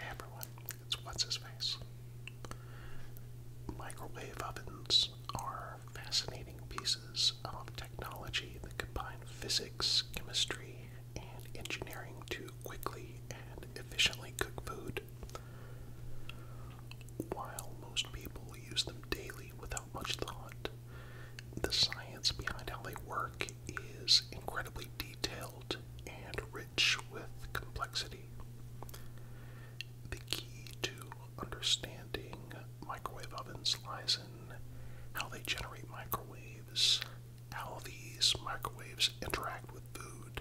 everyone, What's His Face. Microwave ovens are fascinating pieces of technology that combine physics, chemistry, and engineering to quickly and efficiently cook food. While most people use them daily without much thought. The science behind how they work is incredibly detailed and rich with complexity. The key to understanding microwave ovens lies in how they generate microwaves, how these microwaves interact with food,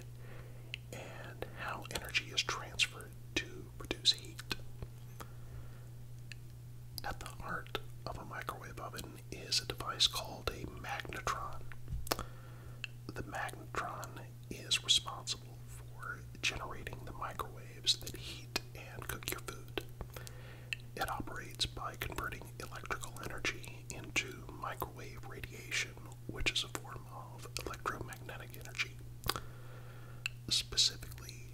and how energy is transferred to produce heat. At the heart of a microwave oven is a device called a magnetron. The magnetron is responsible for generating the microwaves that heat and cook your food. It operates by converting electrical energy into microwave radiation, which is a form of electromagnetic energy specifically,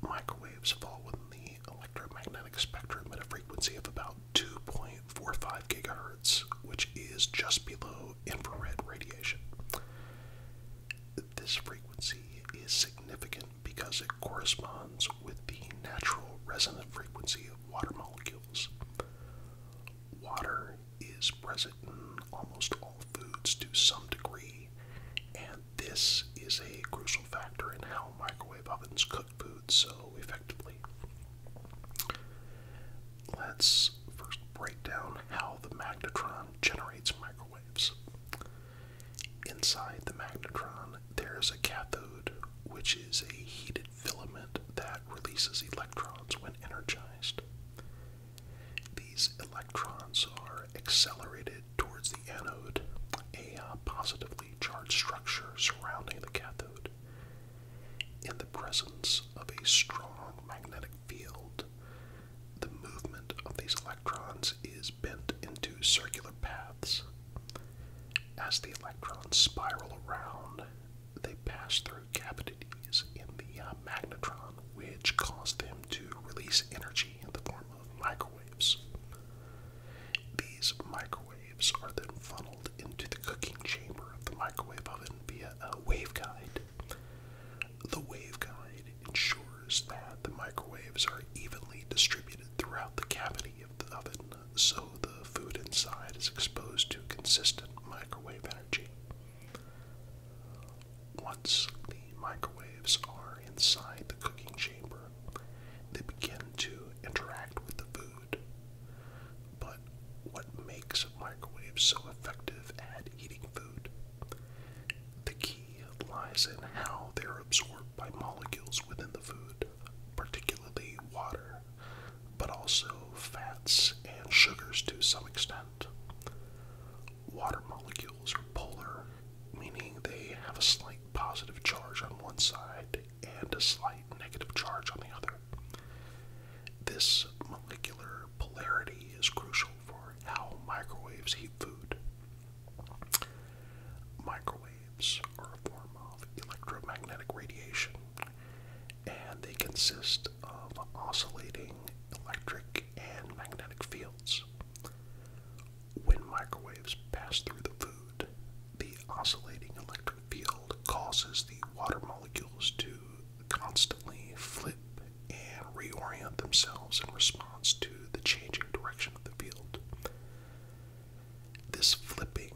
microwaves fall within the electromagnetic spectrum at a frequency of about 2.45 gigahertz, which is just below infrared radiation. This frequency is significant because it corresponds with the natural resonant frequency of water molecules. Water is present in almost all foods to some degree, and this is a crucial factor in how microwave ovens cook food so effectively. Let's first break down how the magnetron generates microwaves. Inside the magnetron, there's a cathode, which is a heated filament that releases electrons when energized. These electrons are accelerated towards the anode, a uh, positively charged structure surrounding the cathode. In the presence of a strong magnetic field, the movement of these electrons is bent into circular paths. As the electrons spiral around, they pass through cavities in the uh, magnetron, which cause them to release energy in the form of microwaves. These microwaves are then funneled into the cooking chamber of the microwave oven via a waveguide. The waveguide ensures that the microwaves are evenly distributed throughout the cavity of the oven so the food inside is exposed to consistent microwave energy. Once the microwaves are inside the cooking chamber, they begin to interact with the food. But what makes microwaves so effective at eating food? The key lies in how they're absorbed by molecules within the food, particularly water, but also fats and sugars to some extent. Water molecules are polar, meaning they have a slight positive charge on one side and a slight negative charge on the other. This molecular polarity is crucial for how microwaves heat food. Microwaves are a form of electromagnetic radiation, and they consist of oscillating electric and magnetic fields. When microwaves pass through the food, the oscillating electric field causes the water molecules to constantly flip and reorient themselves in response to the changing direction of the field. This flipping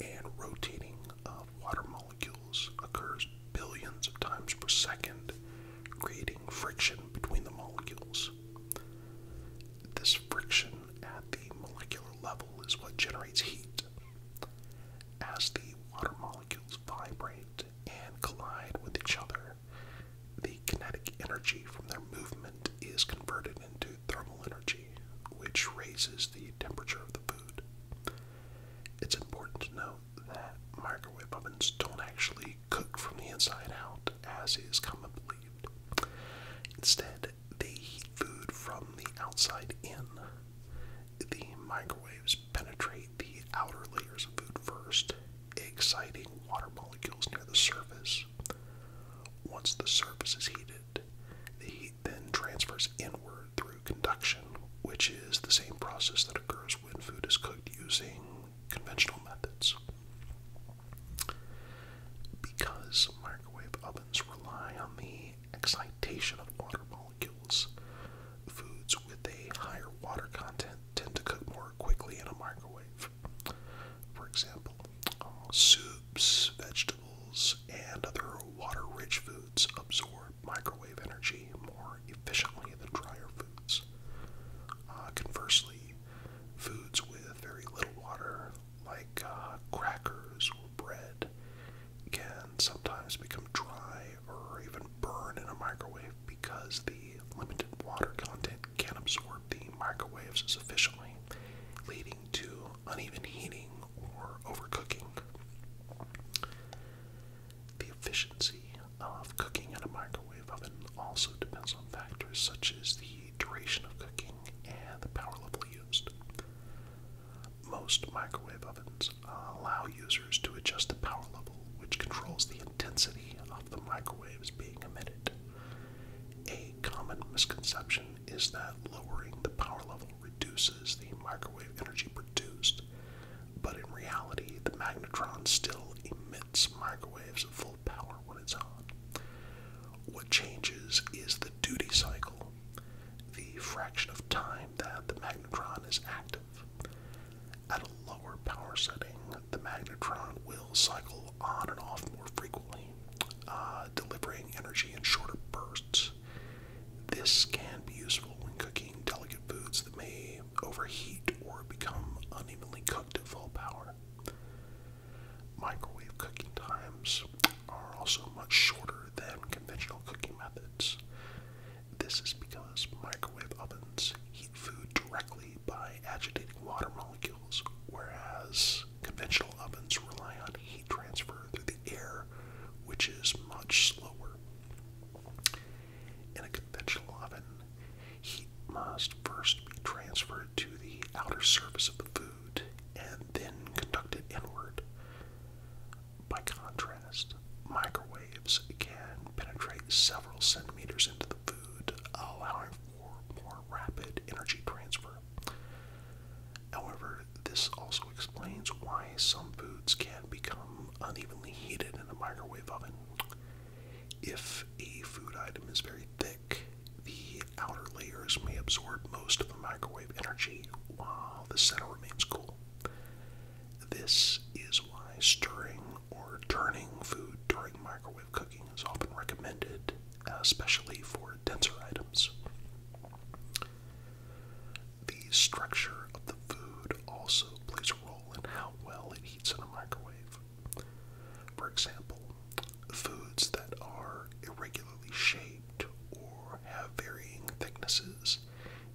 and rotating of water molecules occurs billions of times per second, creating friction between the molecules. This friction at the molecular level is what generates heat. As the water molecules vibrate and collide with each other, the kinetic energy from their movement is converted into thermal energy which raises the temperature of the food. It's important to note that microwave ovens don't actually cook from the inside out, as is commonly believed. Instead, they heat food from the outside in. The microwaves penetrate the outer layers of food first, exciting water molecules near the surface. Once the surface is heated, the heat then transfers inward through conduction, which is the same process that occurs when food is cooked using conventional methods. Because microwave ovens rely on the excitation of water molecules, foods with a higher water content tend to cook more quickly in a microwave. For example, Soups, vegetables, and other water rich foods absorb microwave energy more efficiently than drier foods. Uh, conversely, foods with very little water, like uh, crackers or bread, can sometimes become dry or even burn in a microwave because the limited water content can't absorb the microwaves sufficiently, leading to uneven heating or overcooking. The efficiency of cooking in a microwave oven also depends on factors such as the duration of cooking and the power level used. Most microwave ovens allow users to adjust the power level, which controls the intensity of the microwaves being emitted. A common misconception is that lowering the power level reduces the microwave energy produced, but in reality, the magnetron still emits microwaves at full power when it's on. What changes is the duty cycle, the fraction of time that the magnetron is active. At a lower power setting, the magnetron will cycle on and off more frequently, uh, delivering energy in shorter bursts. This can be useful when cooking delicate foods that may overheat or become unevenly cooked at full power. Microwave cooking times are also much shorter than conventional cooking methods. This is because microwave ovens heat food directly by agitating water molecules, whereas conventional ovens rely on heat transfer through the air, which is much slower. In a conventional oven, heat must first be transferred to the outer surface of the food and then conducted inward. By contrast, microwaves can penetrate several centimeters into the food, allowing or more rapid energy transfer. However, this also explains why some foods can become unevenly heated in a microwave oven. If a food item is very thick, the outer layers may absorb most of the microwave energy while the center remains cool. This is why stirring or turning food during microwave cooking is often recommended, especially for denser items. The structure of the food also plays a role in how well it heats in a microwave. For example, foods that are irregularly shaped or have varying thicknesses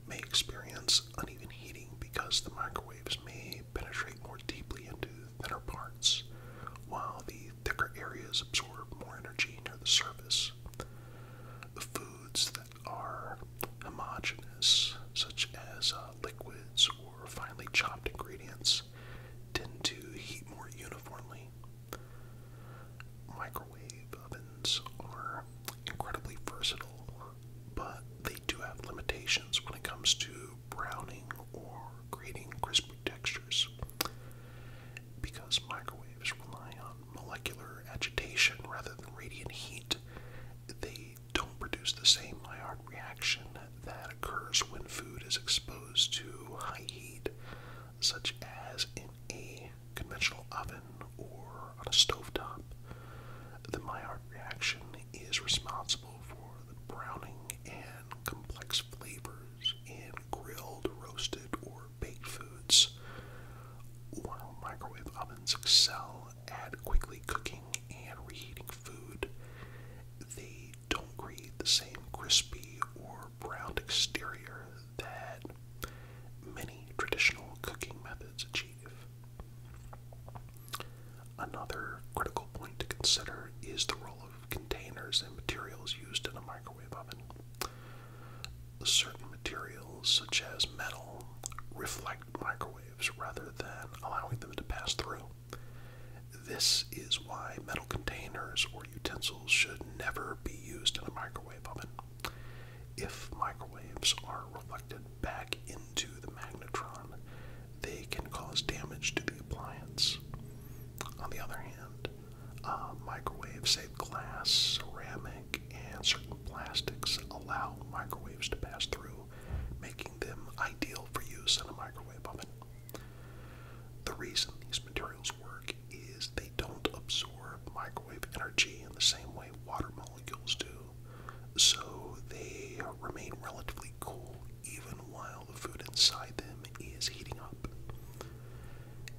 may experience uneven heating because the microwaves may penetrate more deeply into thinner parts, while the thicker areas absorb more energy near the surface. Foods that are homogeneous, such as uh, liquids or finely chopped ingredients, tend to heat more uniformly. Microwave ovens are incredibly versatile, but they do have limitations when it comes to browning or creating crisp textures because microwaves rely on molecular agitation rather than radiant heat they don't produce the same Maillard reaction that occurs when food is exposed to high heat such as in a conventional oven or on a stovetop the Maillard reaction is responsible for the browning and complex flavors in grilled, roasted, or baked foods, while microwave ovens excel at quickly cooking and reheating food. They don't create the same crispy or browned exterior that many traditional cooking methods achieve. Another critical point to consider is the role of containers and materials used in a microwave oven. Certain materials, such as metal, reflect microwaves rather than allowing them to pass through. This is why metal containers or utensils should never be used in a microwave oven. If microwaves are reflected back into the magnetron, they can cause damage to the appliance. On the other hand, uh, microwaves, say glass, ceramic, and certain plastics, allow microwaves to pass through, making them ideal for use in a microwave oven. The reason these materials work is they don't absorb microwave energy in the same way water molecules do so they remain relatively cool even while the food inside them is heating up.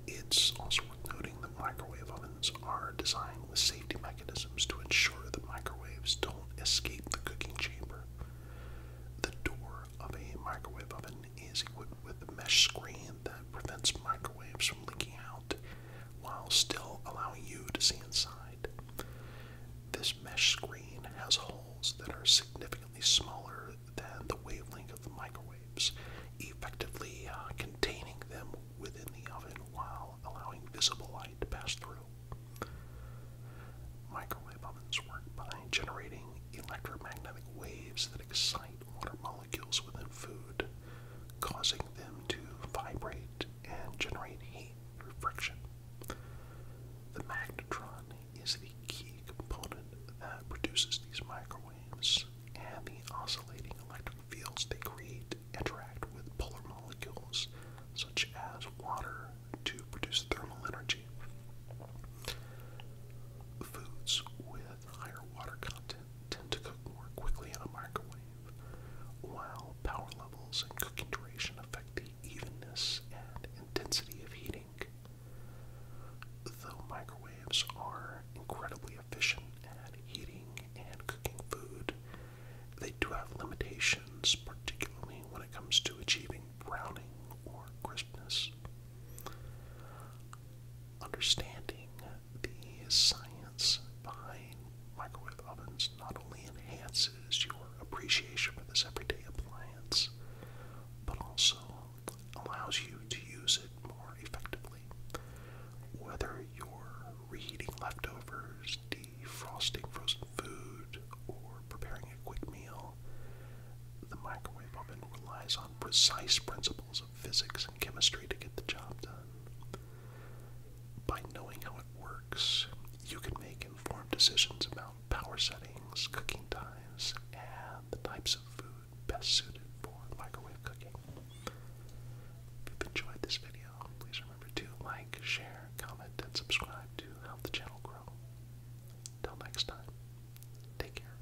It's also worth noting that microwave ovens are designed with safety mechanisms to ensure that microwaves don't escape the cooking chamber. The door of a microwave oven is equipped with a mesh screen that prevents microwaves from leaking out while still allowing you to see inside. This mesh screen has holes that are significantly smaller than the wavelength of the microwaves, effectively uh, containing them within the oven while allowing visible light to pass through. Microwave ovens work by generating electromagnetic waves that excite water molecules within food, causing them to vibrate and generate heat through friction. The magnetron is the key component that produces these microwaves, and the oscillating electric fields they create interact with polar molecules such as water to produce thermal energy. Foods with higher water content tend to cook more quickly in a microwave, while power levels and cooking duration affect the evenness and intensity of heating. Though microwaves are incredibly efficient at heating and cooking food, they do have limitations, particularly when it comes to achieving browning or crispness. Understanding the science behind microwave ovens not only enhances your appreciation for this everyday appliance, but also allows you to use it more effectively. Whether you're reheating leftovers, defrosting frozen food, or preparing a quick meal, the microwave oven relies on precise principles of physics and chemistry to get the job done. By knowing how it works, you can make informed decisions about power settings, cooking times, and the types of food best suited for microwave cooking. If you've enjoyed this video, please remember to like, share, comment, and subscribe to help the channel grow. Till next time, take care.